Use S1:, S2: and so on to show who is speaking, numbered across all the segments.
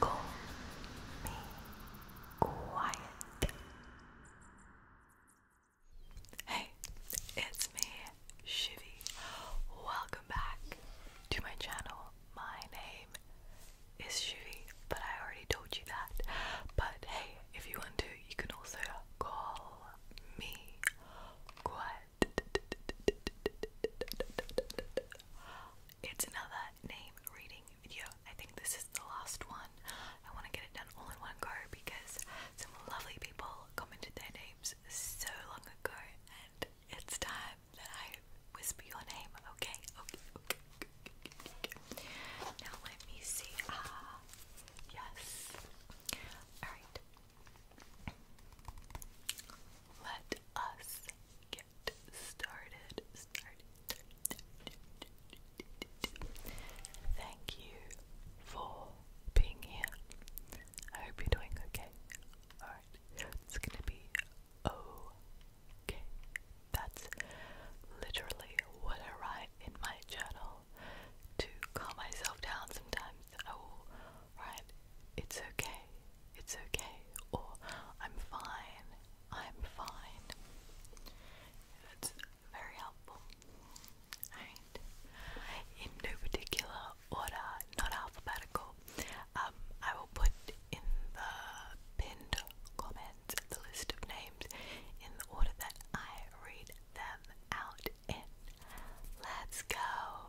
S1: Call me quiet. Hey, it's me, Shivy. Welcome back to my channel. My name is Shivy, but I already told you that. But hey, if you want to, you can also call me quiet. It's another name reading video. I think this is the last one. I want to get it done all in one go because some lovely people commented their names so long ago, and it's time that I whisper your name. Okay, okay, okay. Now let me see. Ah, yes. All right. Let us get started. Thank you for being here. I hope you're doing okay. Alright, it's gonna be okay. That's literally what I write in my journal to calm myself down sometimes oh, right, it's okay, it's okay, or I'm fine, I'm fine. That's very helpful. Alright. In no particular order, not alphabetical, um, I will put in the pinned comments the list of names in the order that I read them out in. Let's go!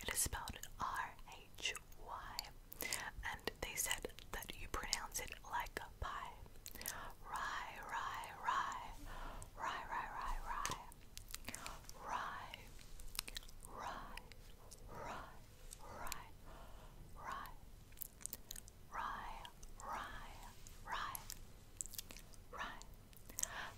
S1: it is spelled R-H-Y. And they said that you pronounce it like a pie. rye. Rye, rye, rye, rye. Rye. Rye. Rye. Rye. Rye. Rye. Rye. Rye. Rye.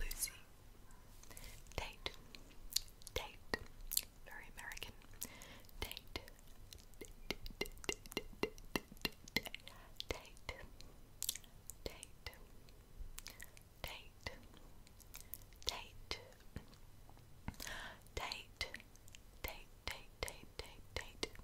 S1: Lucy. Tate. Tate. Very American. Tate. Tate. Tate. Tate. Tate. Tate. Tate. Tate. Tate. Tate. Tate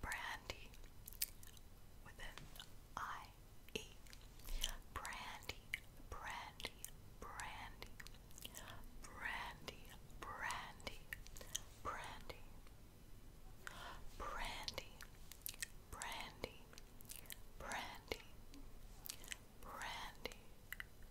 S1: Brandy with an I E. Brandy, brandy, brandy, brandy, brandy, brandy, brandy, brandy, brandy,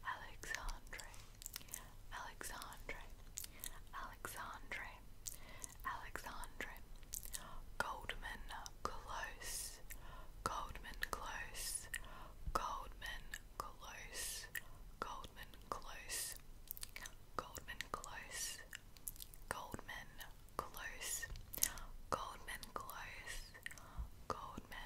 S1: Alexandre, Alexandre, Alexandre, Alexandre, Goldman Close, Goldman Close, Goldman Close, Goldman Close, Goldman Close, Goldman Close, Goldman Close, Goldman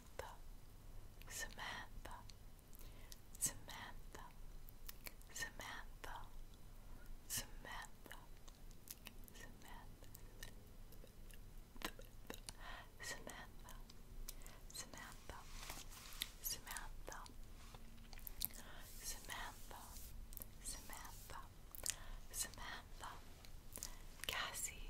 S1: Samantha, Samantha, Samantha, Samantha, Samantha, Samantha, Samantha, Samantha, Samantha, Samantha, Cassie,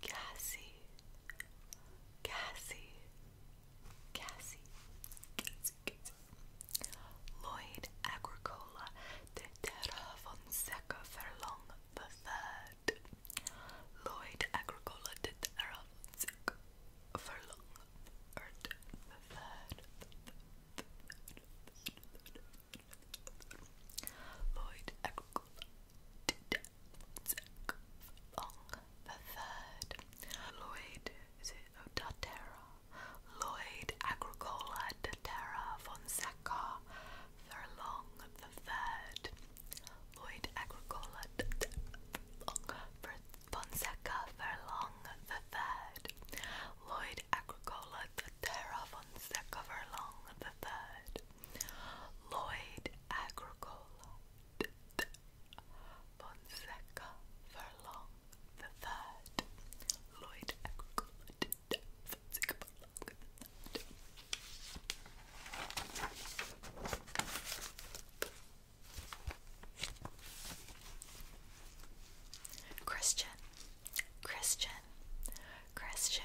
S1: Cassie, Cassie, Cassie, Cassie, Cassie. Lloyd Agricola de Terra Fonseca Furlong the Third. Lloyd Agricola de Terra Fonseca Furlong the Third. Lloyd Agricola Long the third, Lloyd, is it oh, Datera, Lloyd Agricola Datera Fonseca, Furlong the third, Lloyd Agricola Fonseca Furlong the third, Lloyd Agricola Datera Fonseca Furlong the third, Lloyd Agricola Fonseca Furlong the Third, Lloyd Agricola, Christian, Christian, Christian,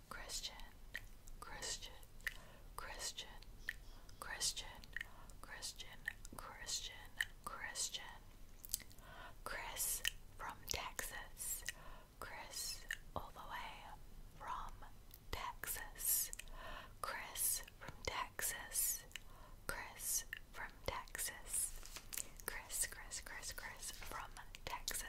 S1: Christian, Christian, Christian, Christian, Christian, Christian, Christian. Chris from Texas. Chris all the way from Texas. Chris from Texas. Chris from Texas. Chris, Chris, Chris, Chris from Texas.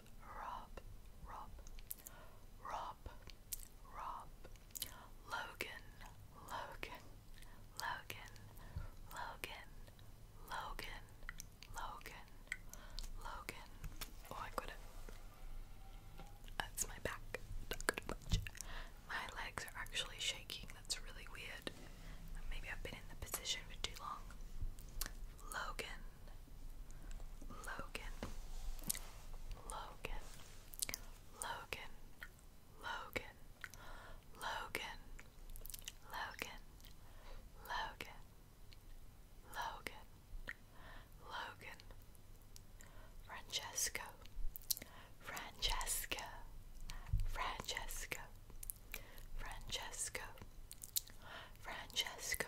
S1: Rob, Rob, Rob, Rob, Logan, Logan, Logan, Logan, Logan, Logan, Logan. Oh, I got it. That's my back. My legs are actually shaking. That's really weird. Maybe I've been in the position for too long. Logan, Logan, Logan, Logan, Logan, Logan, Logan, Logan, Logan, Logan, Francesco, Francesco, Francesco, Francesco, Francesco,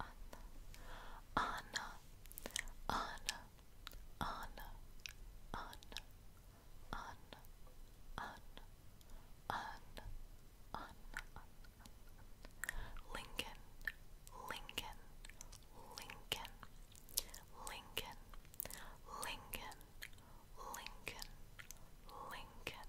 S1: Anna, Anna, Anna, Anna, Anna, Anna, Anna, Anna, Lincoln, Lincoln, Lincoln, Lincoln, Lincoln, Lincoln, Lincoln, Lincoln,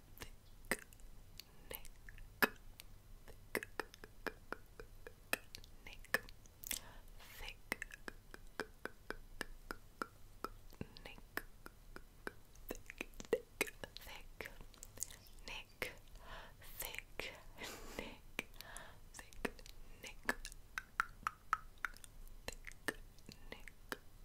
S1: thick neck, thick neck, thick neck, thick, thick, thick thick thick neck, thick neck, thick neck, thick neck, thick neck,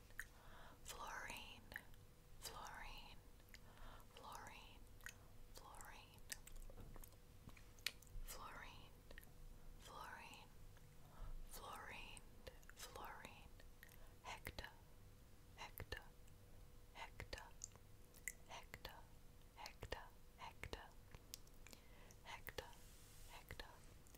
S1: fluorine, fluorine, fluorine, fluorine, fluorine, fluorine, fluorine, fluorine, hecta, hecta, hecta, hecta, hecta, hecta, hecta, hecta.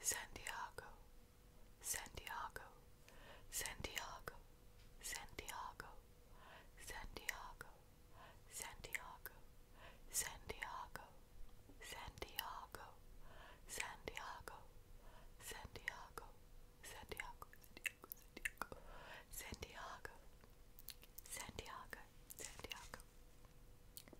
S1: Santiago, Santiago, Santiago, Santiago, Santiago, Santiago, Santiago, Santiago, Santiago, Santiago, Santiago, Santiago, Santiago, Santiago, Santiago,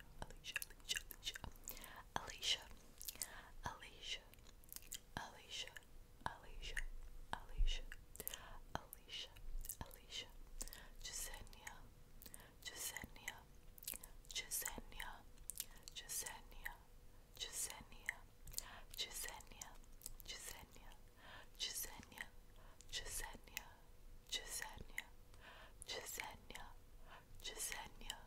S1: Alicia, Alicia, Alicia, Alicia, Alicia, Alicia, Alicia, Alicia, Alicia, Alicia, Jessenia, Jessenia, Jessenia, Jessenia, Jessenia, Jessenia, Jessenia, Jessenia, Jessenia, Jessenia, Jessenia, Jessenia,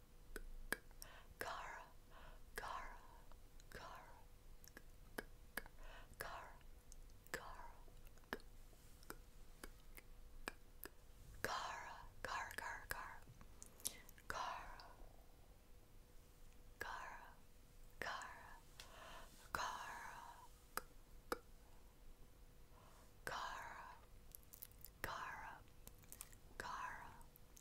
S1: Kara, Kara, Kara, Kara, Kara, Kara, Kara, Kara, Kara, Kara, Kara, Kara, Kara. Kara, Kara, Kara,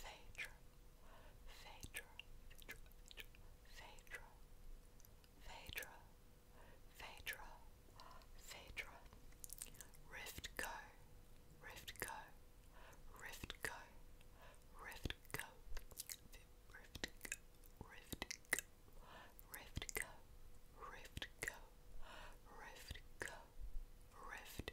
S1: Phaedra, Phaedra, Phaedra, Phaedra, Phaedra, Phaedra, Phaedra, Rift Go, Rift Go, Rift Go, Rift Go, Rift Go, Rift Go, Rift Go, Rift Go, Rift Go, Rift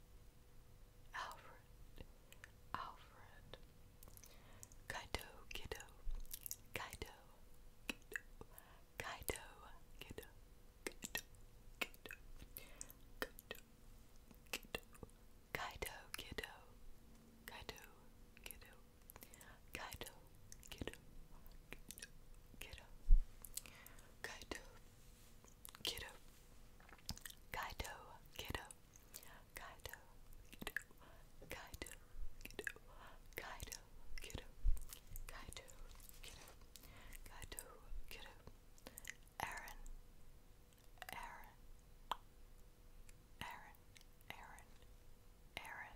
S1: Alfred, Alfred, Kaido, kiddo, Kaido, kiddo, Kaido, kiddo, kiddo, kiddo, kiddo, kiddo, Kaido, kiddo, Kaido, kiddo, Kaido, kiddo, Kaido, Kiddo. Kaido, kiddo. Kaido, kiddo. Kaido, kiddo. Kaido, kiddo. Kaido, kiddo. Kaido, Aaron. Aaron. Aaron. Aaron. Aaron. Aaron.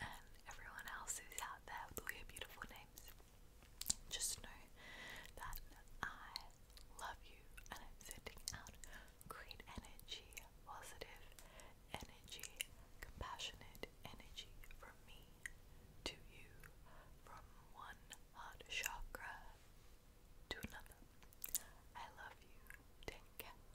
S1: and um, everyone else who's out there with all your beautiful names, just know that I love you and I'm sending out great energy, positive energy, compassionate energy from me to you, from one heart chakra to another. I love you. Take